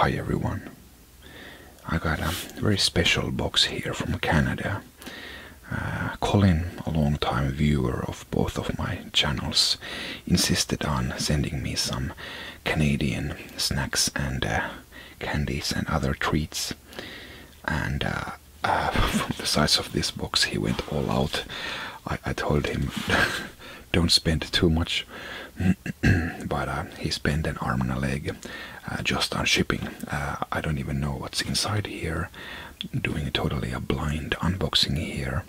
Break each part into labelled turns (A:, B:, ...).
A: Hi everyone. I got a very special box here from Canada. Uh, Colin, a long-time viewer of both of my channels, insisted on sending me some Canadian snacks and uh, candies and other treats. And uh, from the size of this box he went all out. I told him don't spend too much. but uh, he spent an arm and a leg uh, just on shipping. Uh, I don't even know what's inside here. Doing totally a blind unboxing here.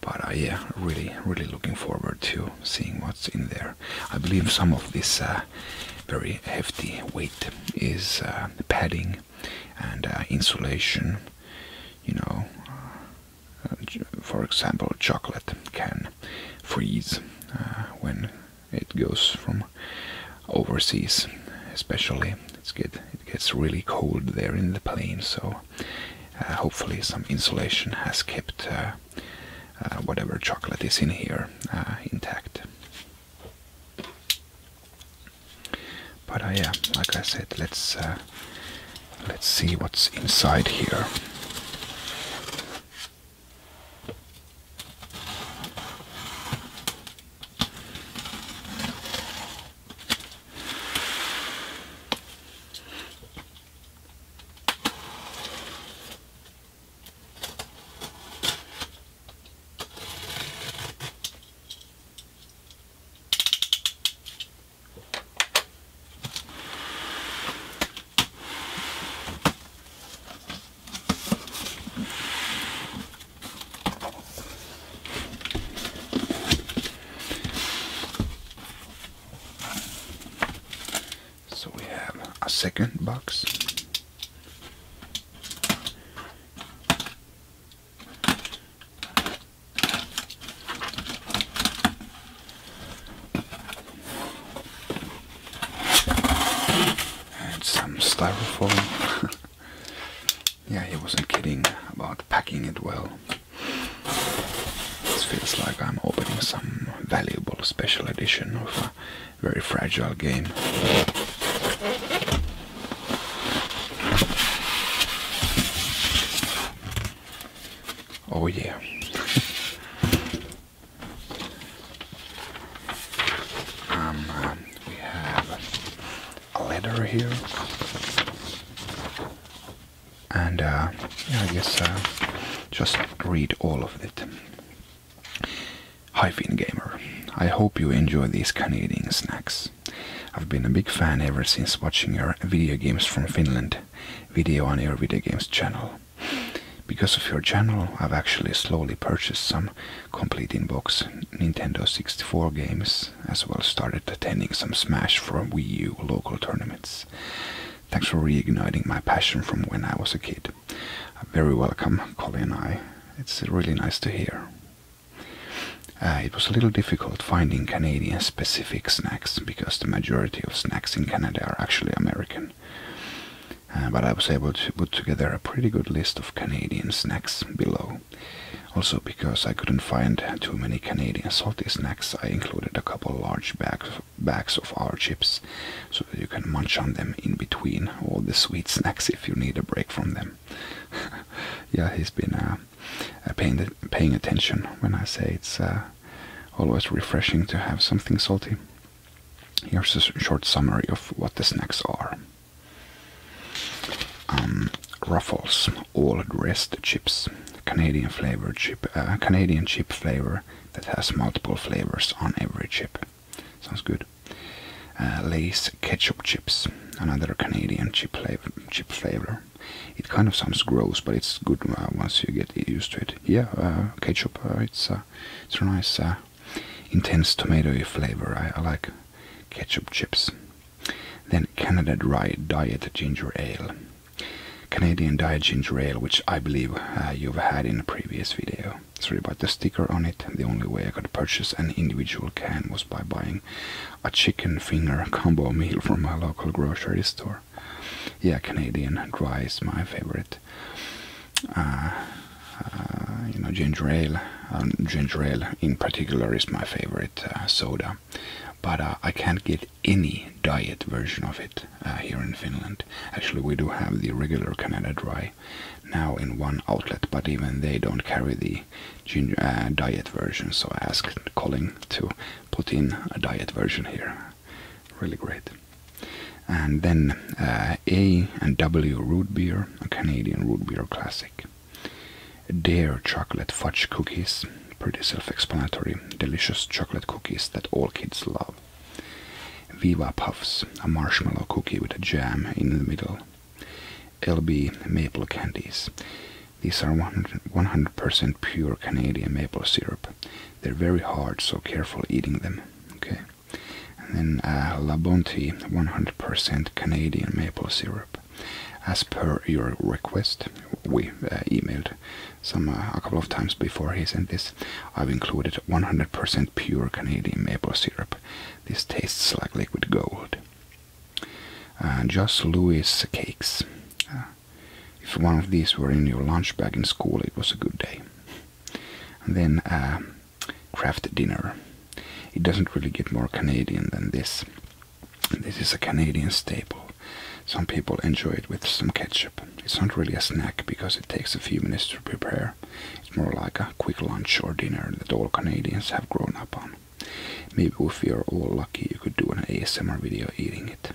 A: But yeah, really, really looking forward to seeing what's in there. I believe some of this very hefty weight is padding and insulation. You know, for example, chocolate can freeze uh, when it goes from overseas, especially. It's good. It gets really cold there in the plane, so uh, hopefully some insulation has kept uh, whatever chocolate is in here intact. But yeah, like I said, let's Let's see what's inside here. So we have a second box some styrofoam. yeah, he wasn't kidding about packing it well. It feels like I'm opening some valuable special edition of a very fragile game. Oh yeah. um, um, we have a letter here, and uh, yeah, I guess uh, just read all of it. Hi Finn Gamer, I hope you enjoy these Canadian snacks. I've been a big fan ever since watching your video games from Finland video on your video games channel. Because of your channel, I've actually slowly purchased some complete in-box Nintendo 64 games, as well started attending some Smash for Wii U local tournaments. Thanks for reigniting my passion from when I was a kid. Very welcome, Colin and I. It's really nice to hear. Uh, it was a little difficult finding Canadian specific. Fake snacks because the majority of snacks in Canada are actually American. Uh, but I was able to put together a pretty good list of Canadian snacks below. Also, because I couldn't find too many Canadian salty snacks, I included a couple large bags, of our chips so that you can munch on them in between all the sweet snacks if you need a break from them. yeah, he's been uh, uh, paying, paying attention when I say it's always refreshing to have something salty. Here's a short summary of what the snacks are. Um, ruffles all dressed chips, Canadian flavor chip, uh, Canadian chip flavor that has multiple flavors on every chip. Sounds good. Uh, Lay's ketchup chips, another Canadian Chip flavor it kind of sounds gross, but it's good uh, once you get used to it. Yeah, uh, ketchup. Uh, it's uh, it's a nice, intense tomatoey flavor. I, like ketchup chips. Then Canada Dry Diet Ginger Ale. Canadian Diet Ginger Ale, which I believe you've had in a previous video. Sorry about the sticker on it. The only way I could purchase an individual can was by buying a chicken finger combo meal from my local grocery store yeah, Canadian dry is my favorite. Uh, uh, you know, ginger ale, um, ginger ale in particular is my favorite uh, soda, but I can't get any diet version of it here in Finland. Actually, we do have the regular Canada Dry now in one outlet, but even they don't carry the diet version. So I asked calling to put in a diet version here. Really great. And then uh, A and W root beer, a Canadian root beer classic. Dear chocolate fudge cookies, pretty self-explanatory, delicious chocolate cookies that all kids love. Viva Puffs, a marshmallow cookie with a jam in the middle. LB maple candies, these are 100% pure Canadian maple syrup. They're very hard, so careful eating them. Okay, and then uh, La Bonté 100% Canadian maple syrup. As per your request, we uh, emailed some uh, a couple of times before he sent this. I've included 100% pure Canadian maple syrup. This tastes like liquid gold. Uh, Just Louis cakes. If one of these were in your lunch bag in school, it was a good day. And then a uh, craft dinner. It doesn't really get more Canadian than this. This is a Canadian staple. Some people enjoy it with some ketchup. It's not really a snack because it takes a few minutes to prepare. It's more like a quick lunch or dinner that all Canadians have grown up on. Maybe if you're all lucky, you could do an ASMR video eating it.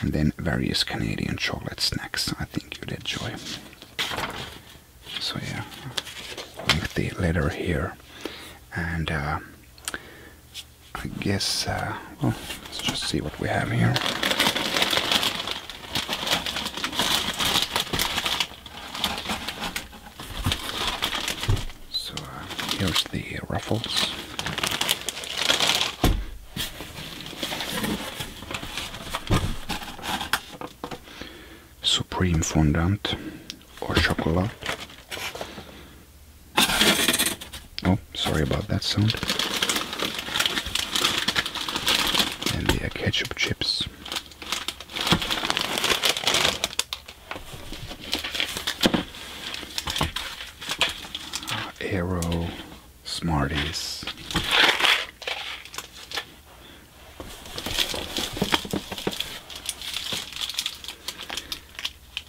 A: And then various Canadian chocolate snacks I think you'd enjoy. So yeah, the letter here. And uh, I guess, uh, well, let's just see what we have here. So uh, here's the ruffles. Supreme fondant or chocolate. Oh, sorry about that sound. And the ketchup chips. Arrow Smarties.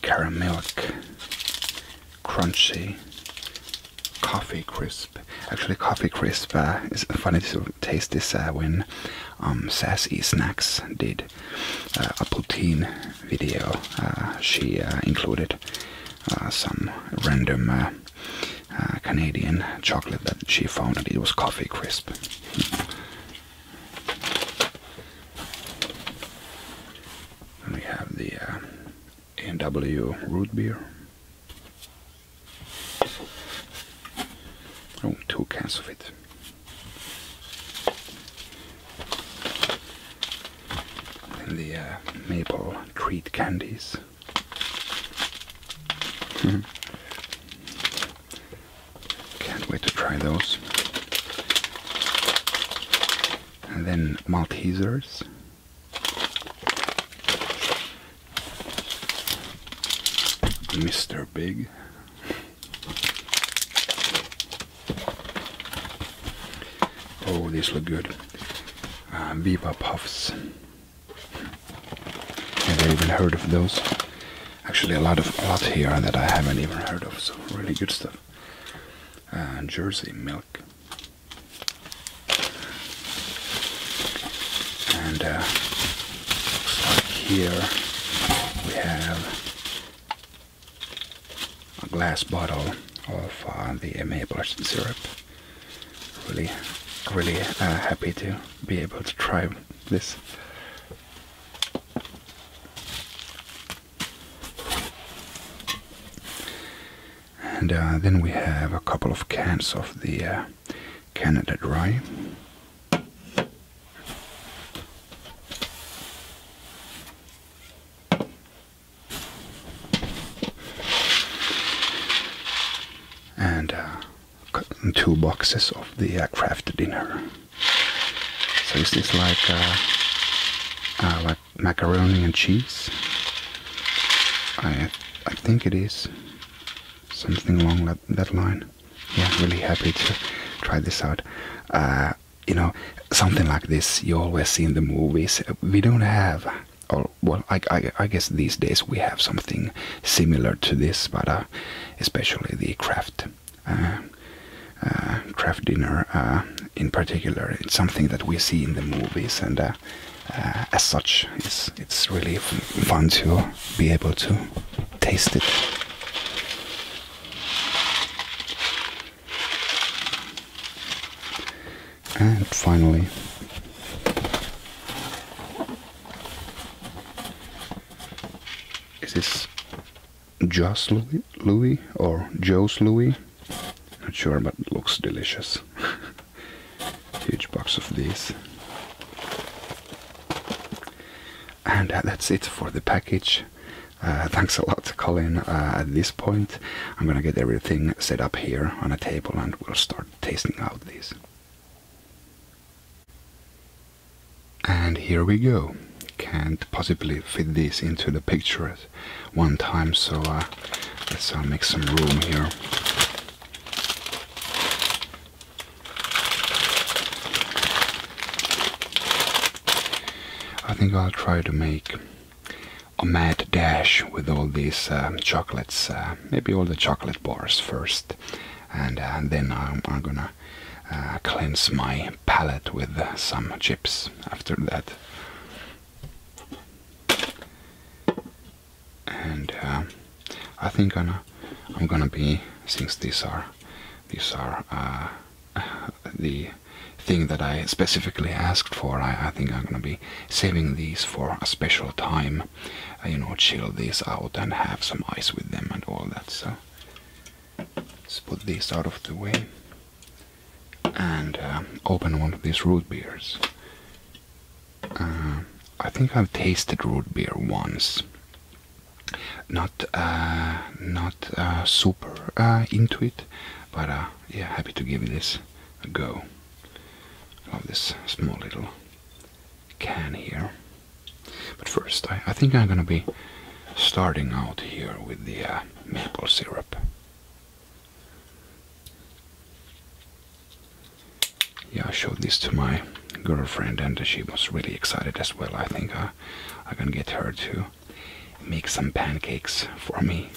A: Caramelic, crunchy, coffee crisp. Actually, coffee crisp uh, is funny to taste this when um, Sassy Snacks did uh, a poutine video. Uh, she uh, included some random Canadian chocolate that she found, and it was coffee crisp. And we have the N W root beer. Oh, two cans of it. And the uh, maple treat candies. Hmm. Can't wait to try those. And then Maltesers. Mr. Big. Oh, these look good. Uh, Viva Puffs. Never even heard of those. Actually, a lot of a lot here that I haven't even heard of. So really good stuff. Uh, Jersey milk. And uh, looks like here we have a glass bottle of uh, the maple syrup. Really, really uh, happy to be able to try this. And uh, then we have a couple of cans of the uh, Canada Dry and uh, two boxes of the uh, dinner. So is this like uh, uh, like macaroni and cheese? I I think it is something along that, that line. Yeah, really happy to try this out you know, something like this you always see in the movies. We don't have, or well, I, I, guess these days we have something similar to this, but uh, especially the craft, uh, uh, craft dinner uh, in particular. It's something that we see in the movies, and uh, as such, it's it's really fun to be able to taste it. And finally, is this Joss Louis, Louis or Joe's Louis? Not sure, but it looks delicious. Huge box of these. And that's it for the package. Uh, thanks a lot, Colin. Uh, at this point, I'm gonna get everything set up here on a table and we'll start tasting out these. And here we go. Can't possibly fit this into the picture one time, so uh, let's make some room here. I think I'll try to make a mad dash with all these uh, chocolates, uh, maybe all the chocolate bars first, and uh, then I'm, gonna cleanse my palate with some chips after that. And I think I'm, gonna be, since these are these are the thing that I specifically asked for. I, think I'm gonna be saving these for a special time. Uh, you know, chill these out and have some ice with them and all that. So let's put these out of the way and uh, open one of these root beers. Uh, I think I've tasted root beer once not uh, not uh, super uh, into it, but yeah, happy to give this a go. Love this small little can here. But first, I, think I'm gonna be starting out here with the maple syrup. Yeah, I showed this to my girlfriend and she was really excited as well. I think I can get her to make some pancakes for me.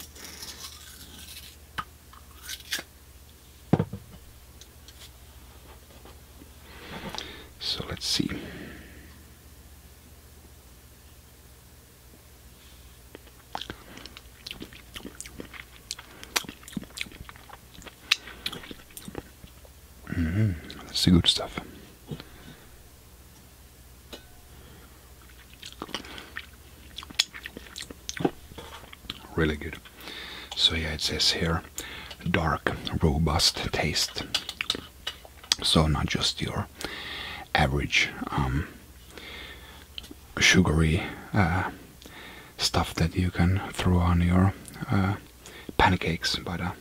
A: So let's see. Mm -hmm. That's good stuff. Really good. So yeah, it says here, dark, robust taste. So not just your average um, sugary uh, stuff that you can throw on your uh, pancakes, but uh,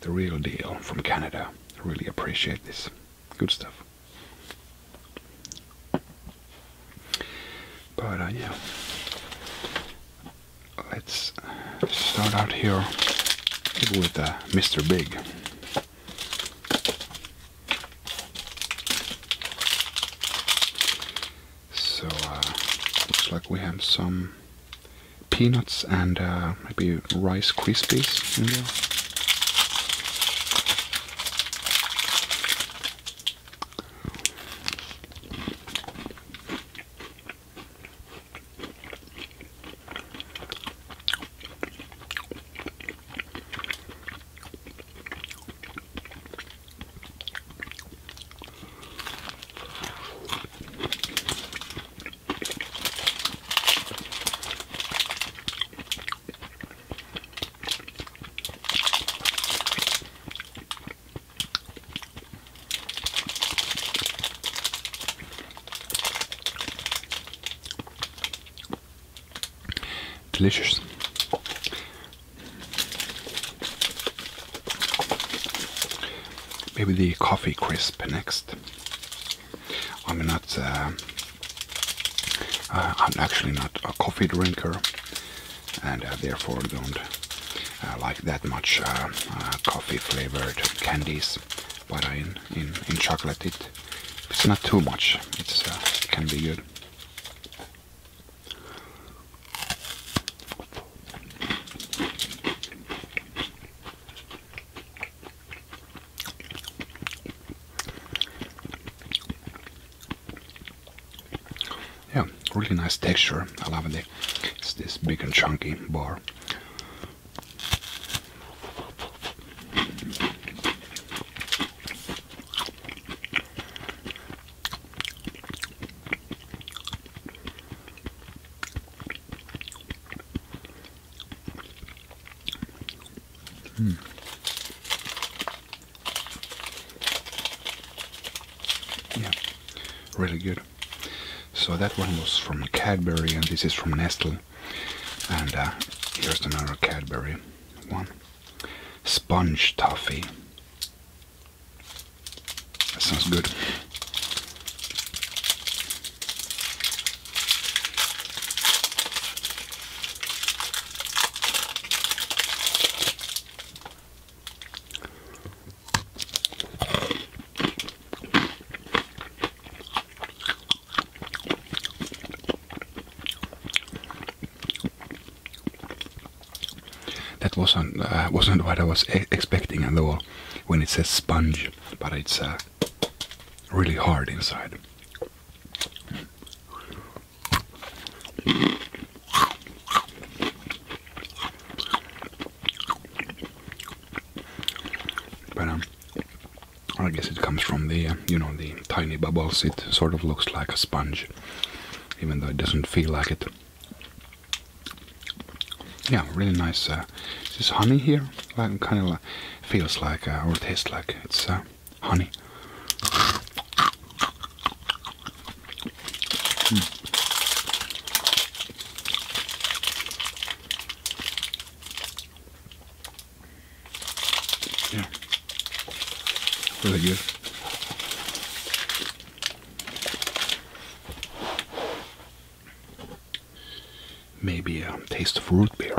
A: the real deal from Canada. Really appreciate this. Good stuff. But uh, yeah, let's start out here with uh, Mr. Big. So uh, looks like we have some peanuts and uh, maybe Rice Krispies Delicious. Maybe the coffee crisp next. I'm not. Uh, uh, I'm actually not a coffee drinker, and uh, therefore don't uh, like that much uh, uh, coffee-flavored candies. But in in in chocolate, it it's not too much. it can be good. Yeah, really nice texture. I love it. It's this big and chunky bar. Hmm. Yeah, really good. So that one was from Cadbury, and this is from Nestle. And uh, here's another Cadbury one sponge toffee. sounds good. That wasn't uh, wasn't what I was expecting at all when it says sponge, but it's a uh, really hard inside. But um, I guess it comes from the uh, you know the tiny bubbles. It sort of looks like a sponge, even though it doesn't feel like it. Yeah, really nice. Uh, this honey here? Like, kind of feels like uh, or tastes like it's uh, honey. Hmm. Yeah, really good. Maybe a taste of root beer.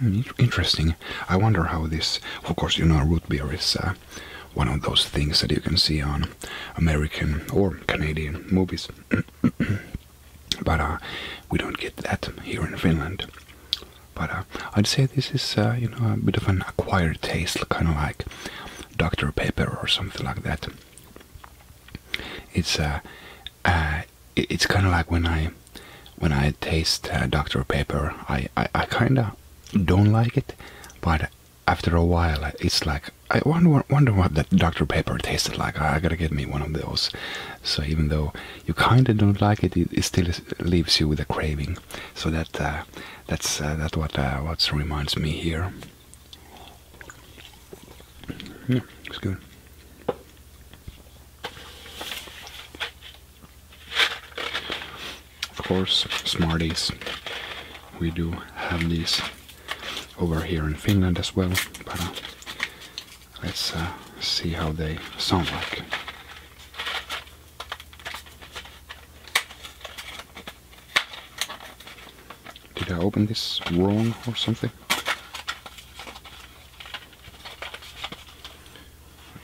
A: Hmm, interesting. I wonder how this. Of course, you know, root beer is uh, one of those things that you can see on American or Canadian movies, but uh, we don't get that here in Finland. But uh, I'd say this is, you know, a bit of an acquired taste, kind of like Dr. Pepper or something like that. It's uh, uh it's kind of like when I when I taste uh, Dr. Pepper, I I, kind of don't like it, but after a while, it's like I wonder wonder what that Dr. Pepper tasted like. I, gotta get me one of those. So even though you kind of don't like it, it, still leaves you with a craving. So that uh, that's uh, what uh, what reminds me here. it's good. Of course, Smarties. We do have these over here in Finland as well, but uh, let's uh, see how they sound like. Did I open this wrong or something?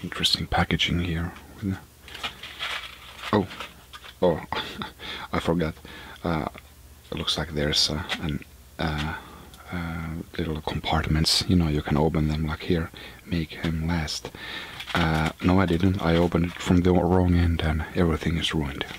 A: Interesting packaging here. Oh, oh, I forgot. Uh, it looks like there's uh, uh, uh, little compartments. You know, you can open them like here, make them last. Uh, no, I didn't. I opened it from the wrong end and everything is ruined.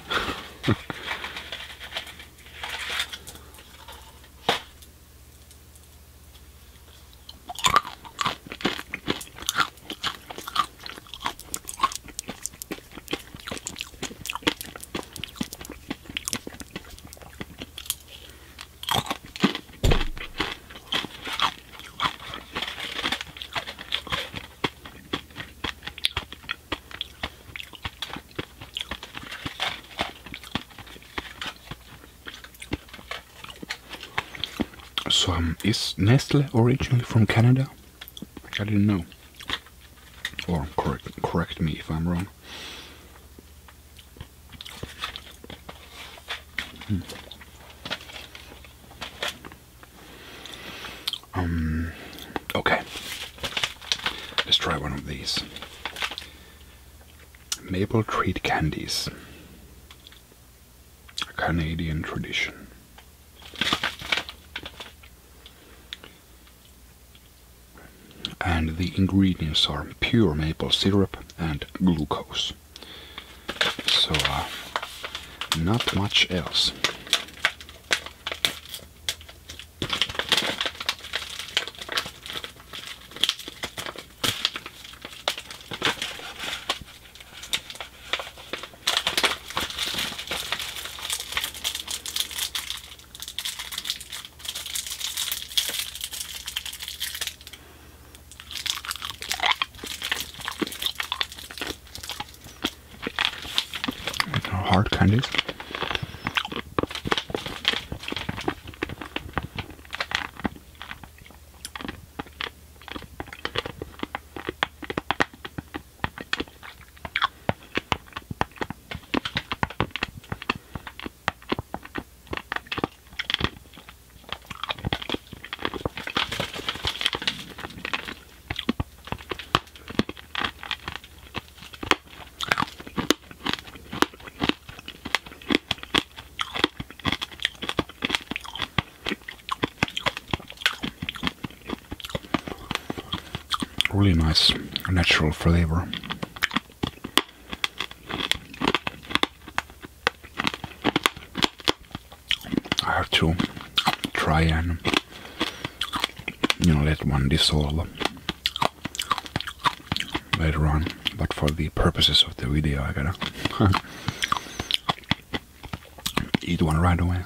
A: So, is Nestle originally from Canada? I didn't know. Or correct, me if I'm wrong. Hmm. Um, okay. Let's try one of these. Maple treat candies. Canadian tradition. And the ingredients are pure maple syrup and glucose. So, uh, not much else. No hard candies. Really nice natural flavor. I have to try and you know let one dissolve later on. But for the purposes of the video, I gotta eat one right away.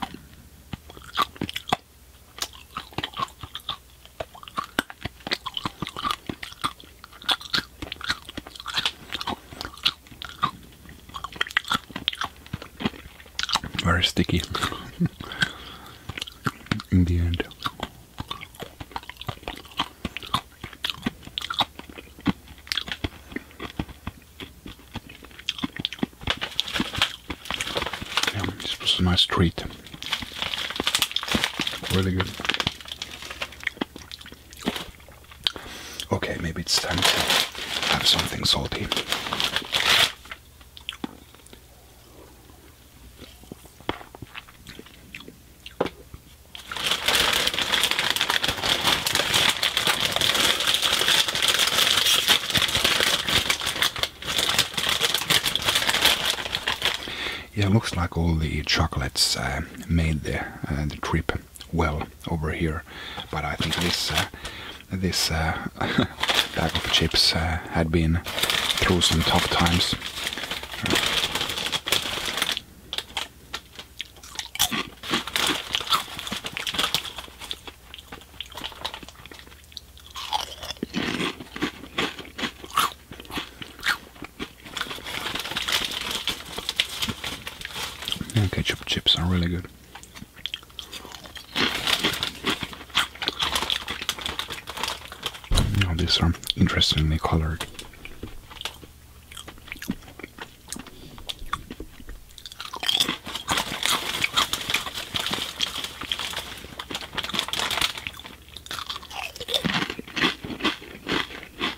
A: Very sticky in the end. Yeah, this was a nice treat. Really good. Okay, maybe it's time to have something salty. Yeah, looks like all the chocolates uh, made the, uh, the trip well over here. But I think this uh, this uh, bag of chips uh, had been through some tough times. Ketchup chips are really good. Oh, these are interestingly colored.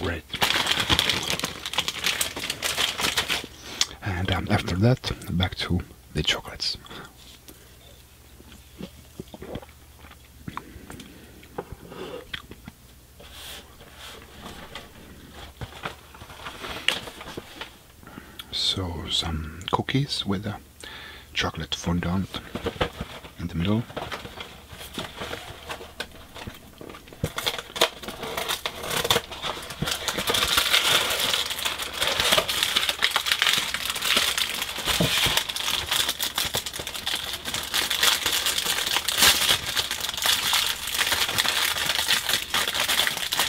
A: Great. And um, after that, back to the chocolates. So some cookies with a chocolate fondant in the middle.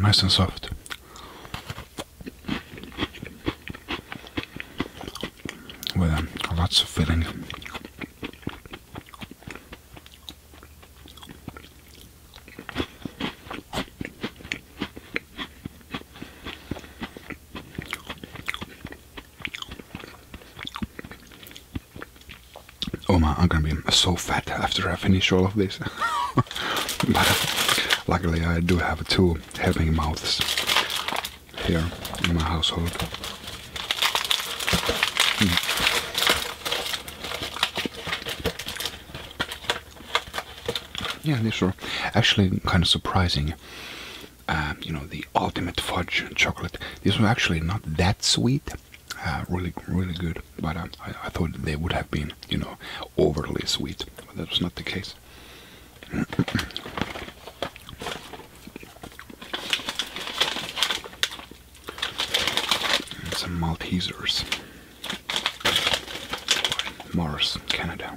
A: nice and soft. With lots of filling. Oh my! I'm gonna be so fat after I finish all of this. but luckily, I do have two helping mouths here in my household. Mm. Yeah, these are actually kind of surprising. Um, you know, the ultimate fudge chocolate. This was actually not that sweet. Uh, really, really good. But um, I thought they would have been, you know, overly sweet. But that was not the case. Some Maltesers. Mars, Canada.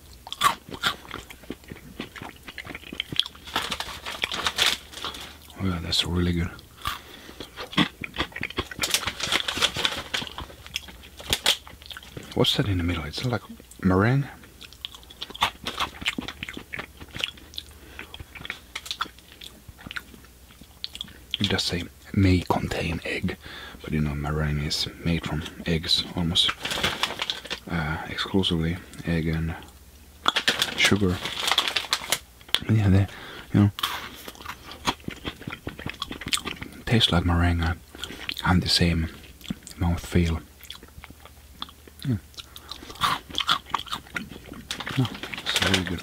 A: Yeah, that's really good. What's that in the middle? It's like meringue. It does say may contain egg, but you know meringue is made from eggs almost uh, exclusively egg and sugar. Yeah, they, you know, tastes like meringue and the same mouth feel. No, it's very good.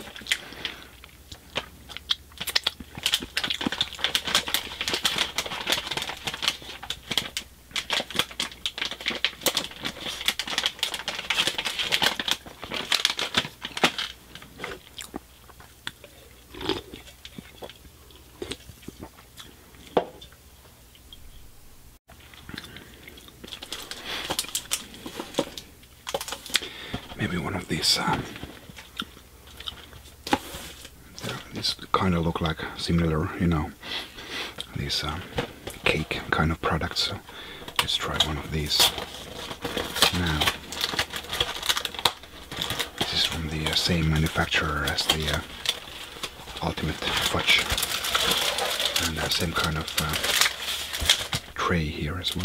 A: Maybe one of these um, these kind of look like similar, you know, these uh, cake kind of products. So let's try one of these now. This is from the uh, same manufacturer as the uh, Ultimate Watch, and same kind of tray here as well.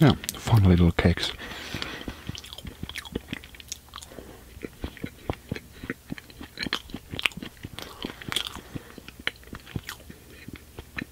A: Yeah, fun little cakes.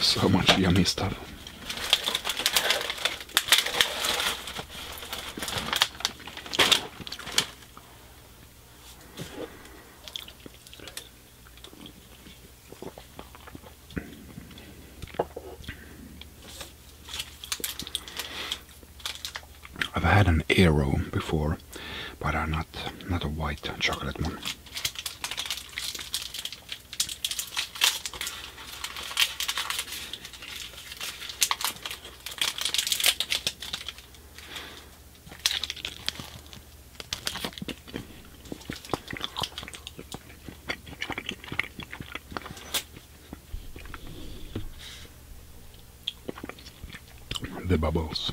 A: So much yummy stuff. I've had an Aero before, but not not a white chocolate one the bubbles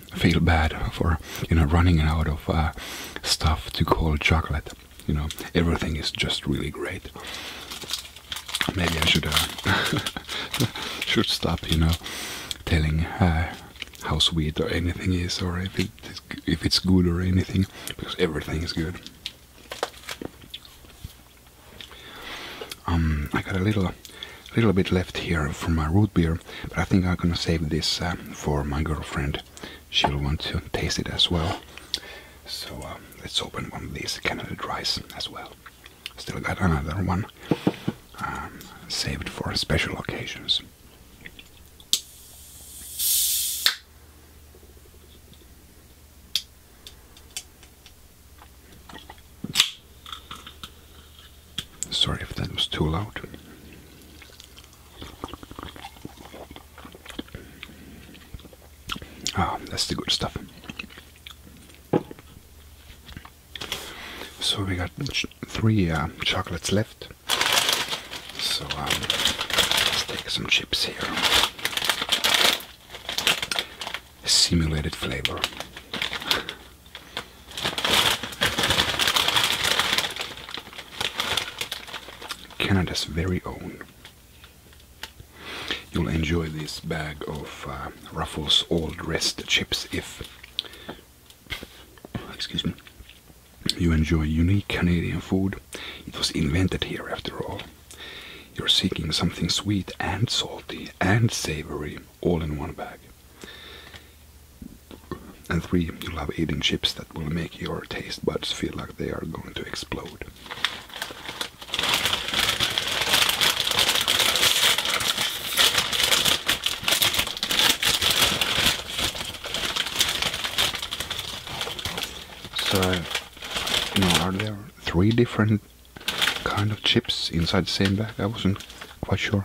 A: feel bad for you know running out of uh, stuff to call chocolate. You know everything is just really great. Maybe I should uh, should stop. You know, telling uh, how sweet or anything is, or if it if it's good or anything, because everything is good. Um, I got a little little bit left here for my root beer but I think I'm gonna save this um, for my girlfriend. She'll want to taste it as well. So um, let's open one of these Canada rice as well. Still got another one um, saved for special occasions. Sorry if that was too loud. Ah, that's the good stuff. So we got three uh, chocolates left. So um, let's take some chips here. Simulated flavor. Canada's very own. You'll enjoy this bag of uh, Ruffles Old Rest chips if, excuse me, you enjoy unique Canadian food. It was invented here after all. You're seeking something sweet and salty and savory all in one bag. And three, you you'll have eating chips that will make your taste buds feel like they are going to explode. So, you know, are there three different kind of chips inside the same bag? I wasn't quite sure.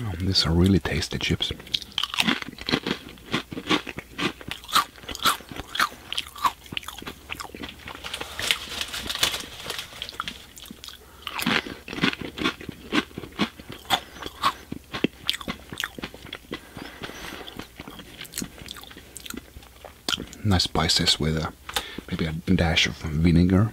A: Oh, these are really tasty chips. Nice spices with a uh, maybe a dash of vinegar.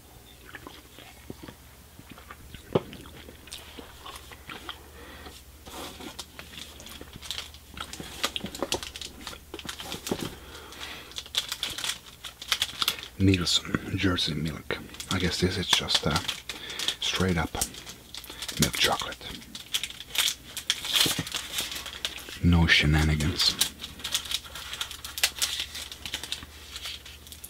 A: Nielsen Jersey Milk. I guess this is just uh, straight up milk chocolate. No shenanigans.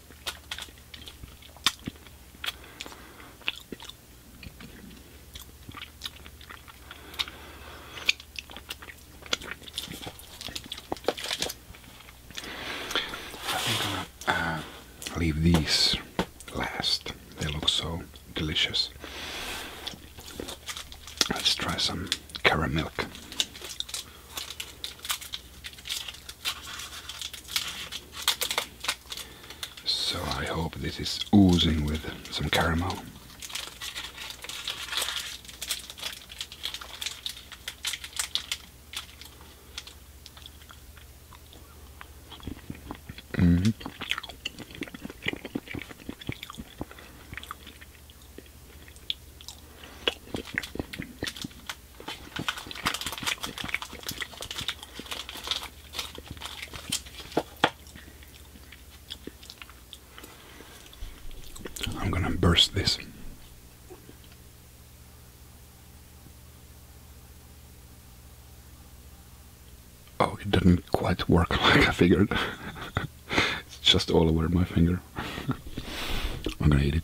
A: I think I'm gonna uh, leave these last. They look so delicious. Let's try some caramel milk. So I hope this is oozing with some caramel. -hmm. I'm going to burst this. Oh, it didn't quite work like I figured. it's just all over my finger. I'm going to eat it.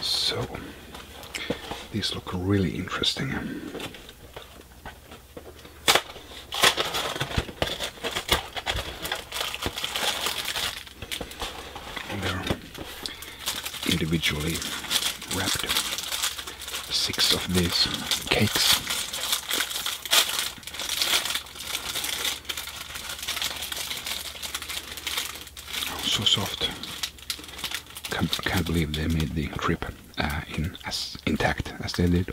A: So, these look really interesting. individually wrapped. Six of these cakes. Oh, so soft. Can't, believe they made the trip uh, in as intact as they did.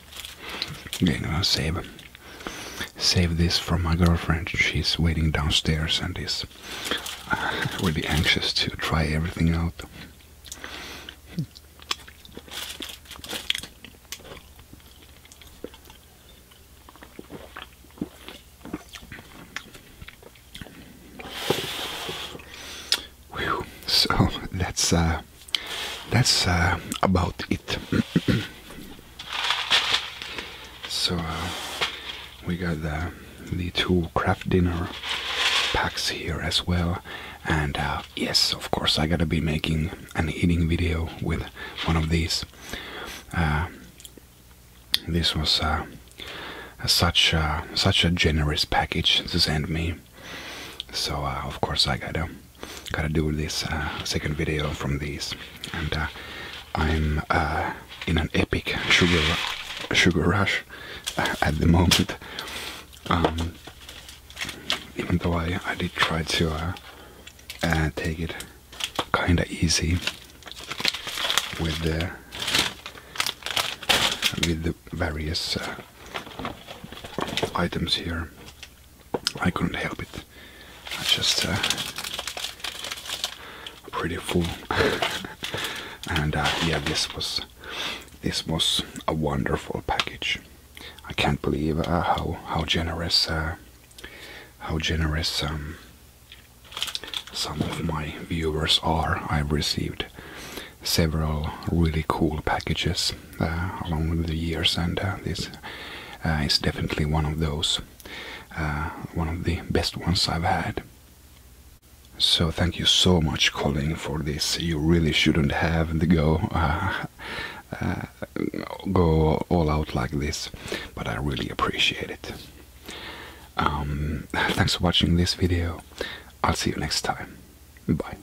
A: Okay, I'm gonna save, save this for my girlfriend. She's waiting downstairs and is uh, really anxious to try everything out. So let's. that's uh, about it. so uh, we got the, two craft dinner packs here as well, and uh, yes, of course, I gotta be making an eating video with one of these. this was such a, such a generous package to send me, so of course I gotta gotta do this uh, second video from these, and uh, I'm uh, in an epic sugar sugar rush at the moment. Um, even though I I did try to take it kinda easy with the with the various items here. I couldn't help it. I am just uh, pretty full, and uh, yeah, this was this was a wonderful package. I can't believe uh, how how generous how generous um, some of my viewers are. I've received several really cool packages uh, along with the years, and uh, this uh, is definitely one of those, one of the best ones I've had. So thank you so much, Colin, for this. You really shouldn't have the go. go all out like this, but I really appreciate it. Um, thanks for watching this video. I'll see you next time. Bye.